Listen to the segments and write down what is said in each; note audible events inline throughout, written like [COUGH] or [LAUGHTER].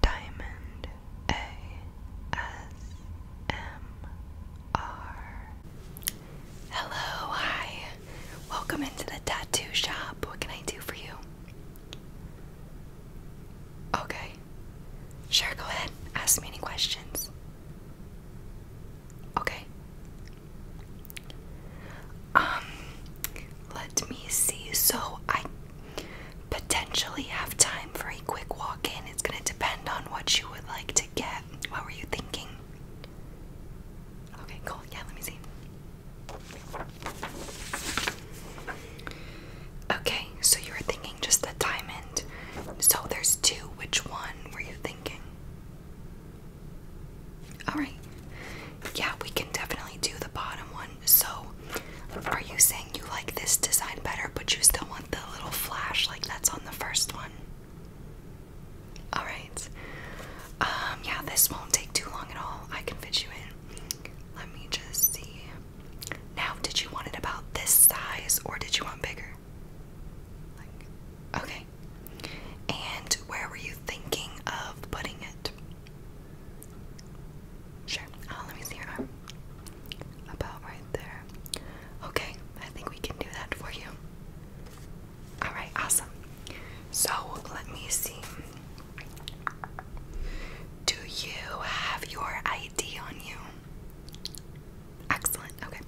Diamond ASMR. Hello, hi. Welcome into the tattoo shop. What can I do for you? Okay. Sure, go ahead. Ask me any questions. Okay. Um, let me see. So I potentially have time for a quick walk in. It's going to depend on what you would like to get. What were you thinking? Okay, cool. Yeah, let me see. Okay, so you were thinking just the diamond. So there's two. Which one were you thinking? Alright. Yeah, we can definitely do the bottom one so are you saying you like this design better but you still want the little flash like that's on the first one? Alright. Um, yeah, this won't take too long at all. I can fit you in. Let me just see. Now, did you want it about this size or did you want bigger? okay. And where were you thinking of putting it? Sure. Oh, let me see your arm. About right there. Okay, I think we can do that for you. Alright, awesome. So let me see. Do you have your ID on you? Excellent. Okay.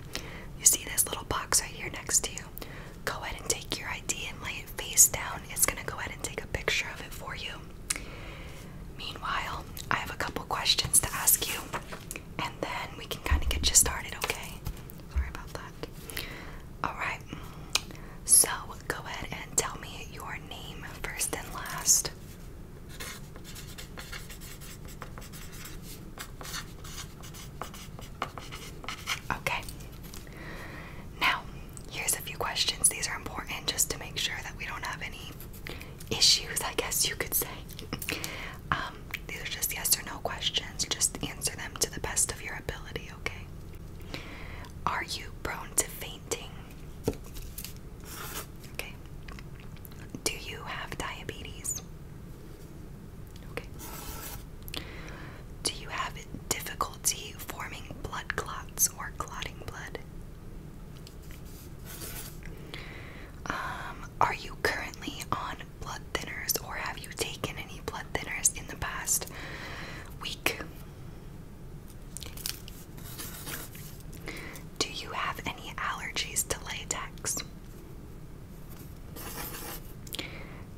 You see this little box right here next to you? Go ahead and take your ID and lay it face down. It's going to go ahead and take a picture of it for you. Meanwhile, I have a couple questions to ask you, and then we can kind of get you started, okay? Sorry about that. Alright, so go ahead and tell me your name first and last. Okay. Now, here's a few questions. These are important just to make sure that we don't have any issues, I guess you could say. Um, these are just yes or no questions. Just answer them to the best of your ability, okay? Are you prone to fainting? Okay. Do you have diabetes? Okay. Do you have difficulty forming blood clots or clotting blood? Um, are you currently on blood thinners or have you taken any blood thinners in the past week? Do you have any allergies to latex?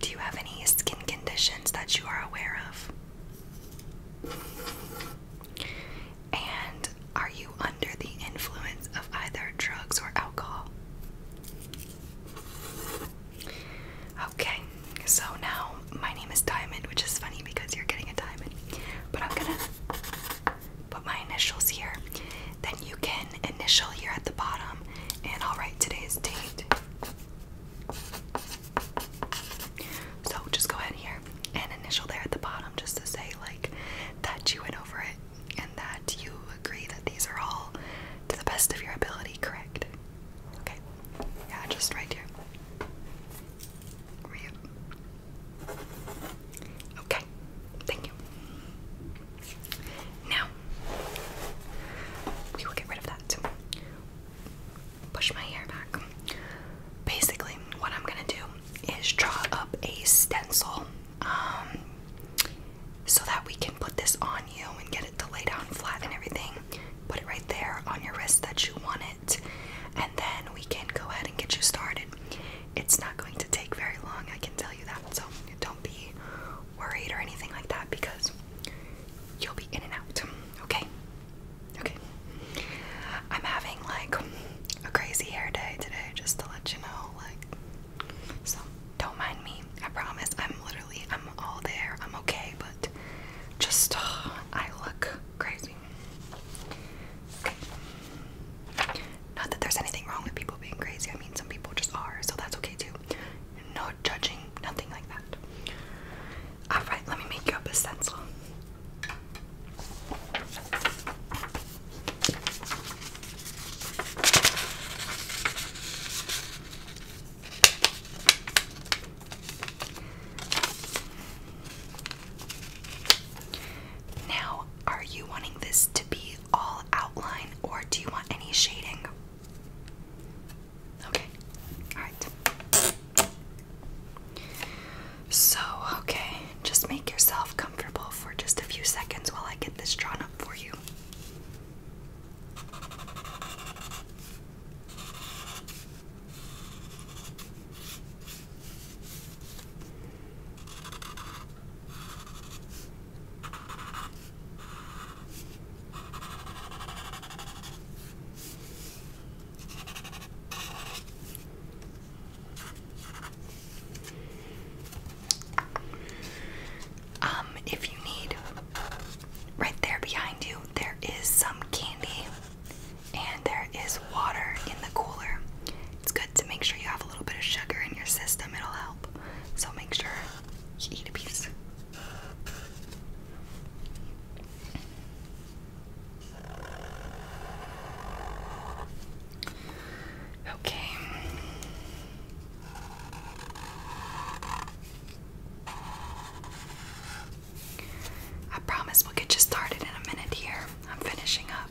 Do you have any skin conditions that you are aware of? And are you under the influence of either drugs or alcohol? Okay, so now my name is Diamond, which is funny because you're getting a diamond. But I'm gonna put my initials here. Then you can initial here at the bottom, and I'll write today's date. So just go ahead here an initial there at the bottom just to say like that you went over it and that you agree that these are all to the best of your ability correct okay yeah just right here okay thank you now we will get rid of that push my hair back. Basically, what I'm gonna do is draw up a stencil um, so that we can put this on you and get it to lay down flat and everything. Put it right there on your wrist that you want it, and then we can go ahead and get you started. It's not going to take very long, I can tell you that, so don't be worried or anything like that because you'll be in and out, okay? Okay. I'm having like a crazy hair day today, just to let you know. Like, so don't mind me. I promise. I'm literally, I'm all there. I'm okay, but just I look crazy. Not that there's anything wrong with people being crazy. I mean, some people just are, so that's okay too. No judging, nothing like that. Alright, let me make up a stencil. Now, are you wanting this to be all outline or do you want any shading? Okay, alright. So, okay, just make yourself comfortable for just a few seconds while I get this drawn up for you. Um, if you need, right there behind you, there is some candy and there is water in the cooler. It's good to make sure you have a little bit of sugar in your system, it'll help. So make sure you eat a piece. Okay. I promise we'll get you started in a minute here. I'm finishing up.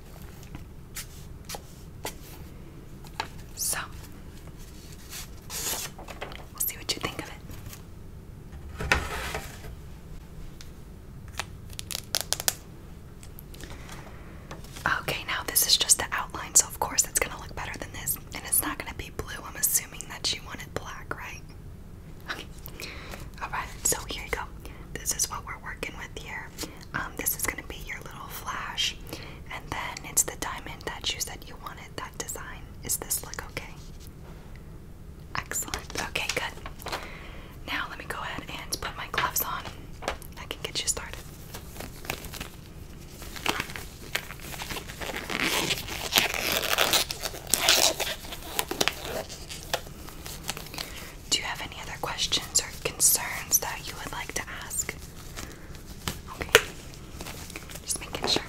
So, we'll see what you think of it. Okay, now this is just the outline, so of course it's gonna look better than this. And it's not gonna be blue. I'm assuming that she wanted black, right? Okay. Alright, so here you go. This is what we're working with here. Um, this is gonna be your little flash, and then it's the diamond that you said you wanted. That design is this look okay? Excellent. Okay, good. Now let me go ahead and put my gloves on. I can get you started. Do you have any other questions or concerns that you would like to ask? Okay. Just making sure.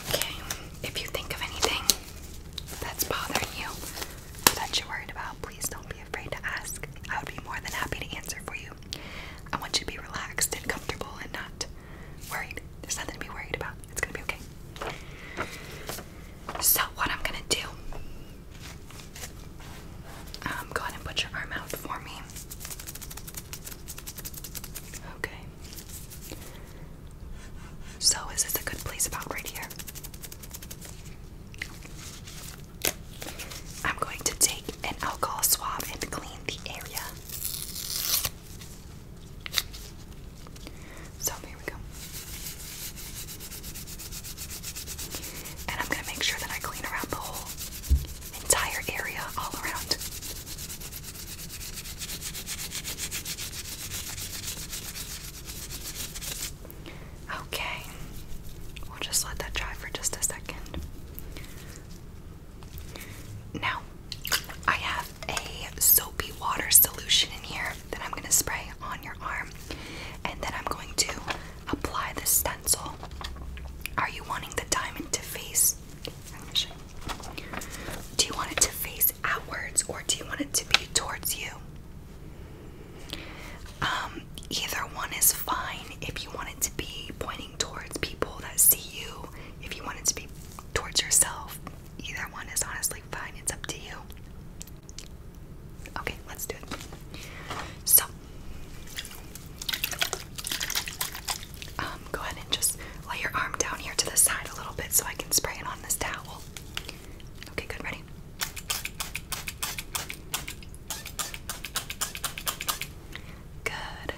Okay, if you think of anything that's bothering you, that you're worried about, please don't be afraid to ask. I would be more than happy to answer for you I want you to be relaxed and comfortable and not worried. There's nothing to be worried about. It's gonna be okay. So, what I'm gonna do, um, go ahead and put your arm out for me. Okay. So, is this a good place about right here? I'm going to take an alcohol swab and clean the area so here we go. And I'm gonna make sure that I clean around the whole entire area all around. Okay, we'll just let that dry for just a second. Now, I have a soapy water solution in here that I'm going to spray on your arm and then I'm going to apply the stencil. Are you wanting the diamond to face? Do you want it to face outwards or do you want it to be towards you? Um, either one is fine if you want it to be pointing towards people that see you, if you want it to be towards yourself, either one is honestly fine. It's up to you. Okay, let's do it. So, um, go ahead and just lay your arm down here to the side a little bit so I can spray it on this towel. Okay, good, ready? Good.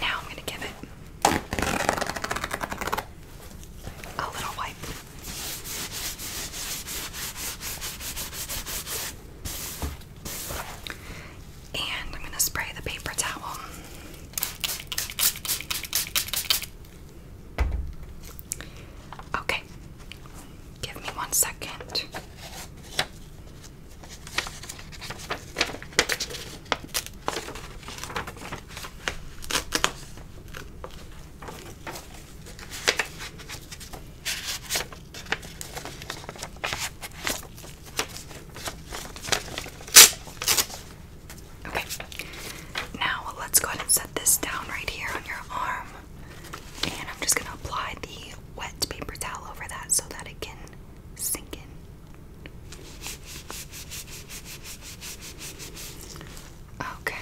Now I'm going to give it a little wipe. And I'm going to spray the paper towel. Okay, give me one second. Okay, now let's go ahead and set this down right here on your arm, and I'm just going to apply the wet paper towel over that so that it can sink in. Okay.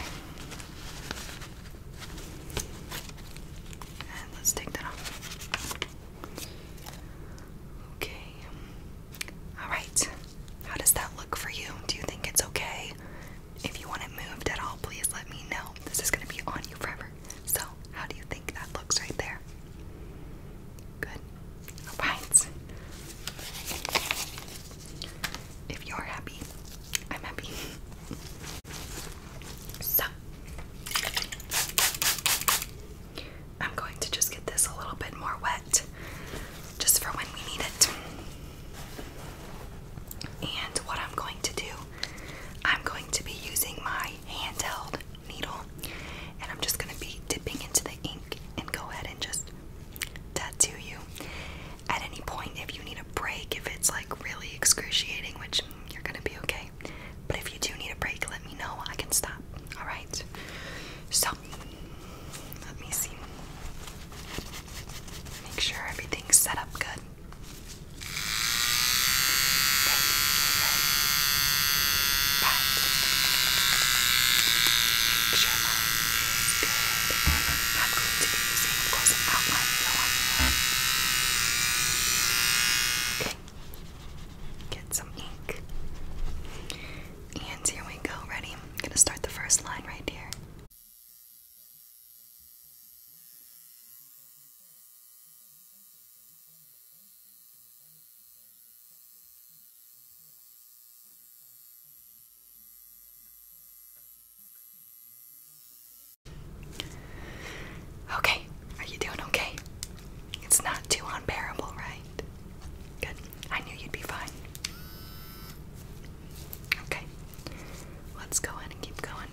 And let's take that off. Okay. All right. How does that look for you? Do you think it's okay? If you want it moved at all, please let me know. This is going to be on you forever. So, how do you think that looks right there? Good. Alright. If you're happy, I'm happy. So, I'm going to just get this a little bit more wet just for when we need it. And what I'm going to do, I'm going to be using my handheld needle and I'm just gonna be dipping into the ink and go ahead and just tattoo you. At any point, if you need a break, if it's like really excruciating, which you're gonna be okay, but if you do need a break, let me know. I can stop. All right. So let me see. Make sure everything's set up good. Right, you're sure good. I'm going to be using, of course, an outline fill on Okay. Get some ink. And here we go. Ready? I'm going to start the first line right here. Okay, are you doing okay? It's not too unbearable, right? Good. I knew you'd be fine. Okay, let's go ahead and keep going.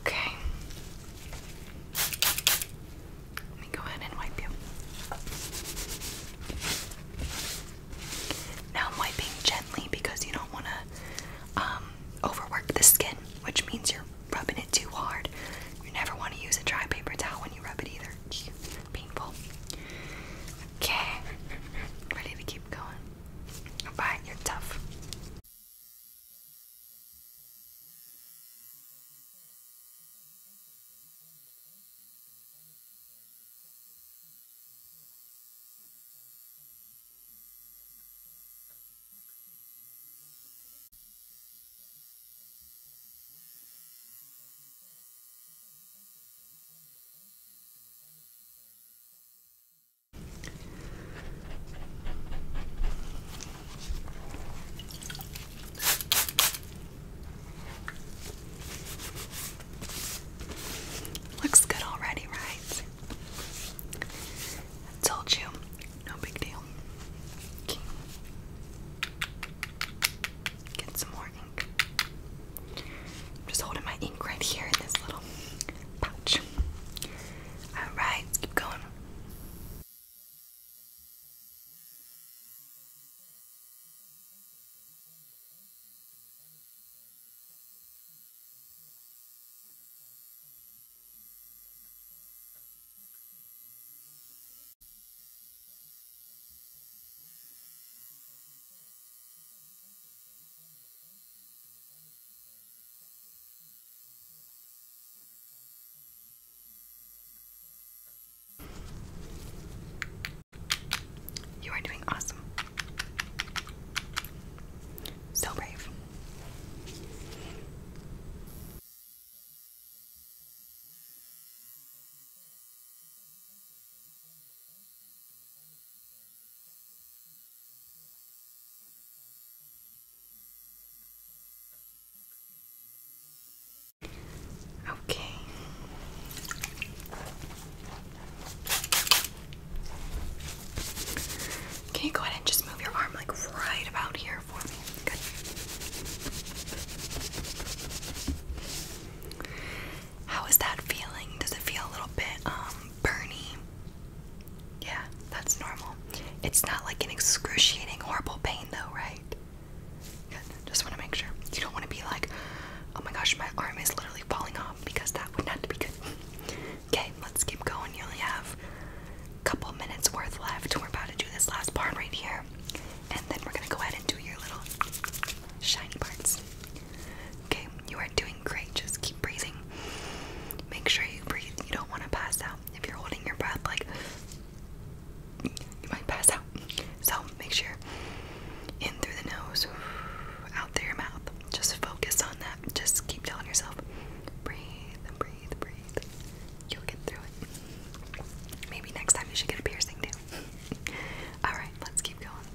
Okay. Let me go ahead and wipe you. Now I'm wiping gently because you don't want to um, overwork the skin, which means you're rubbing it too hard. You never want to use a dry paper towel when you rub it either painful. Okay, ready to keep going. Bye, you're tough. Looks good already, right? I told you, no big deal. Get some more I'm just holding my ink right here in this little pouch. Alright, let's keep going. You are doing awesome. So brave. Okay. Can you go ahead and just move your arm like right about here for me? Good. How is that feeling? Does it feel a little bit um burny? Yeah, that's normal. It's not like an excruciating, horrible pain though, right? Good. Just want to make sure. You don't want to be like, oh my gosh, my arm is literally falling off because that would not be good. okay, let's keep going. You only have a couple minutes worth left. We're about to do this last part right here. And then we're going to go ahead and do your little shiny parts. Okay, you are doing great. Just keep breathing. Make sure you breathe. You don't want to pass out. If you're holding your breath, like you might pass out. So make sure in through the nose, out through your mouth. Just focus on that. Just keep telling yourself, breathe, breathe, breathe. You'll get through it. Maybe next time you should get a piercing too. [LAUGHS] Alright, let's keep going.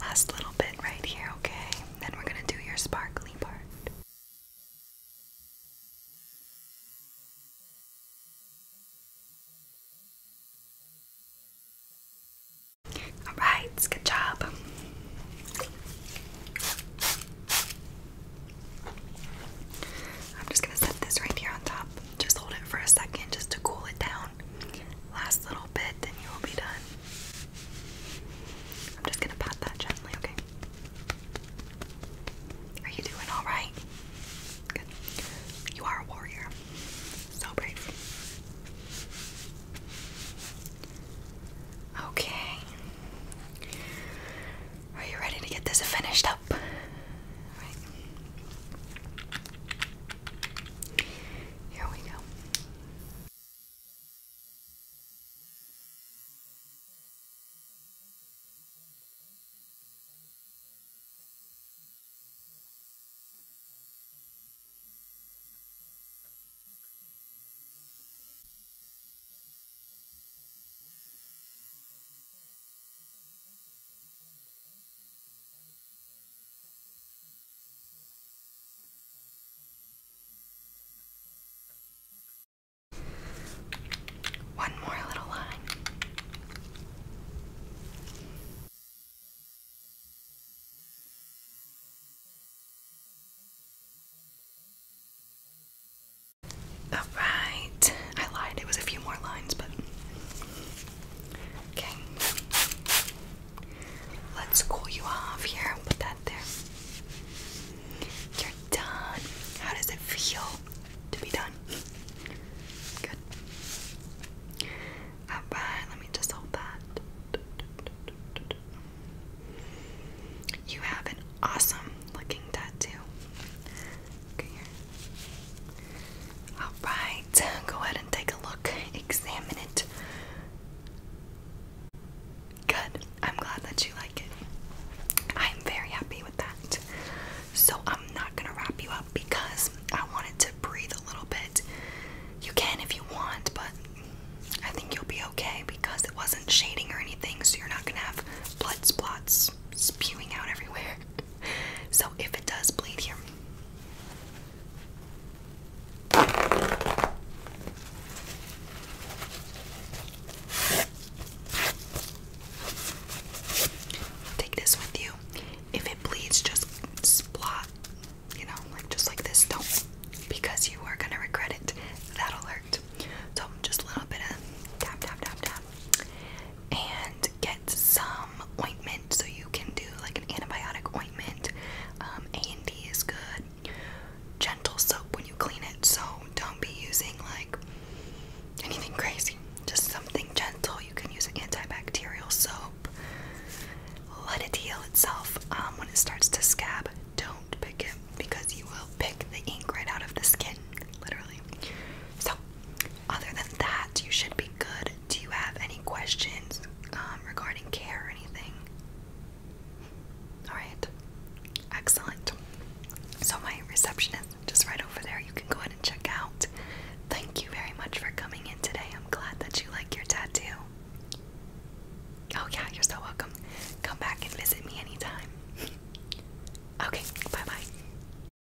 Last little bit right here, okay? Then we're gonna do your sparkly part. Alright, good job. I'm just gonna set this right here on top. Just hold it for a second just to cool it down. Last little bit, then you will be done. I'm just gonna pat that gently, okay? Are you doing alright? Good. You are a warrior. So brave. Okay. Are you ready to get this finished up? up. Right. Here we go. One more little line. All right. I lied. It was a few more lines, but Okay. Let's cool you off here. Put that there. You're done. How does it feel to be done? Good. Alright, let me just hold that. You have an awesome looking tattoo. Okay, here. Alright, go ahead and take a look, examine it. Good, I'm glad that you like it. I'm very happy with that. So, I'm not gonna wrap you up because I wanted to breathe a little bit. You can if you want, but I think you'll be okay because it wasn't shading or anything, so you're not gonna have blood spots spewing out everywhere. [LAUGHS] so if it does bleed here Take this with you. If it bleeds, just splot, you know, like just like this. Don't, because you are gonna regret it. That'll hurt. So just a little bit of tap, tap, tap, tap and get some ointment. So you can do like an antibiotic ointment. Um, A&D is good. Gentle soap when you clean it. So don't be using like anything crazy. Just something gentle. You can use an antibacterial soap. Let it heal itself. Um, when it starts to scab, don't pick it because you will pick the ink right out of the skin, literally. So other than that, you should be good. Do you have any questions um, regarding care or anything? Alright, excellent. So, my receptionist just right over there, you can go ahead and check out. Thank you very much for coming in today. I'm glad that you like your tattoo. Oh, yeah, you're so welcome. Come back and visit me anytime. [LAUGHS] okay, bye bye.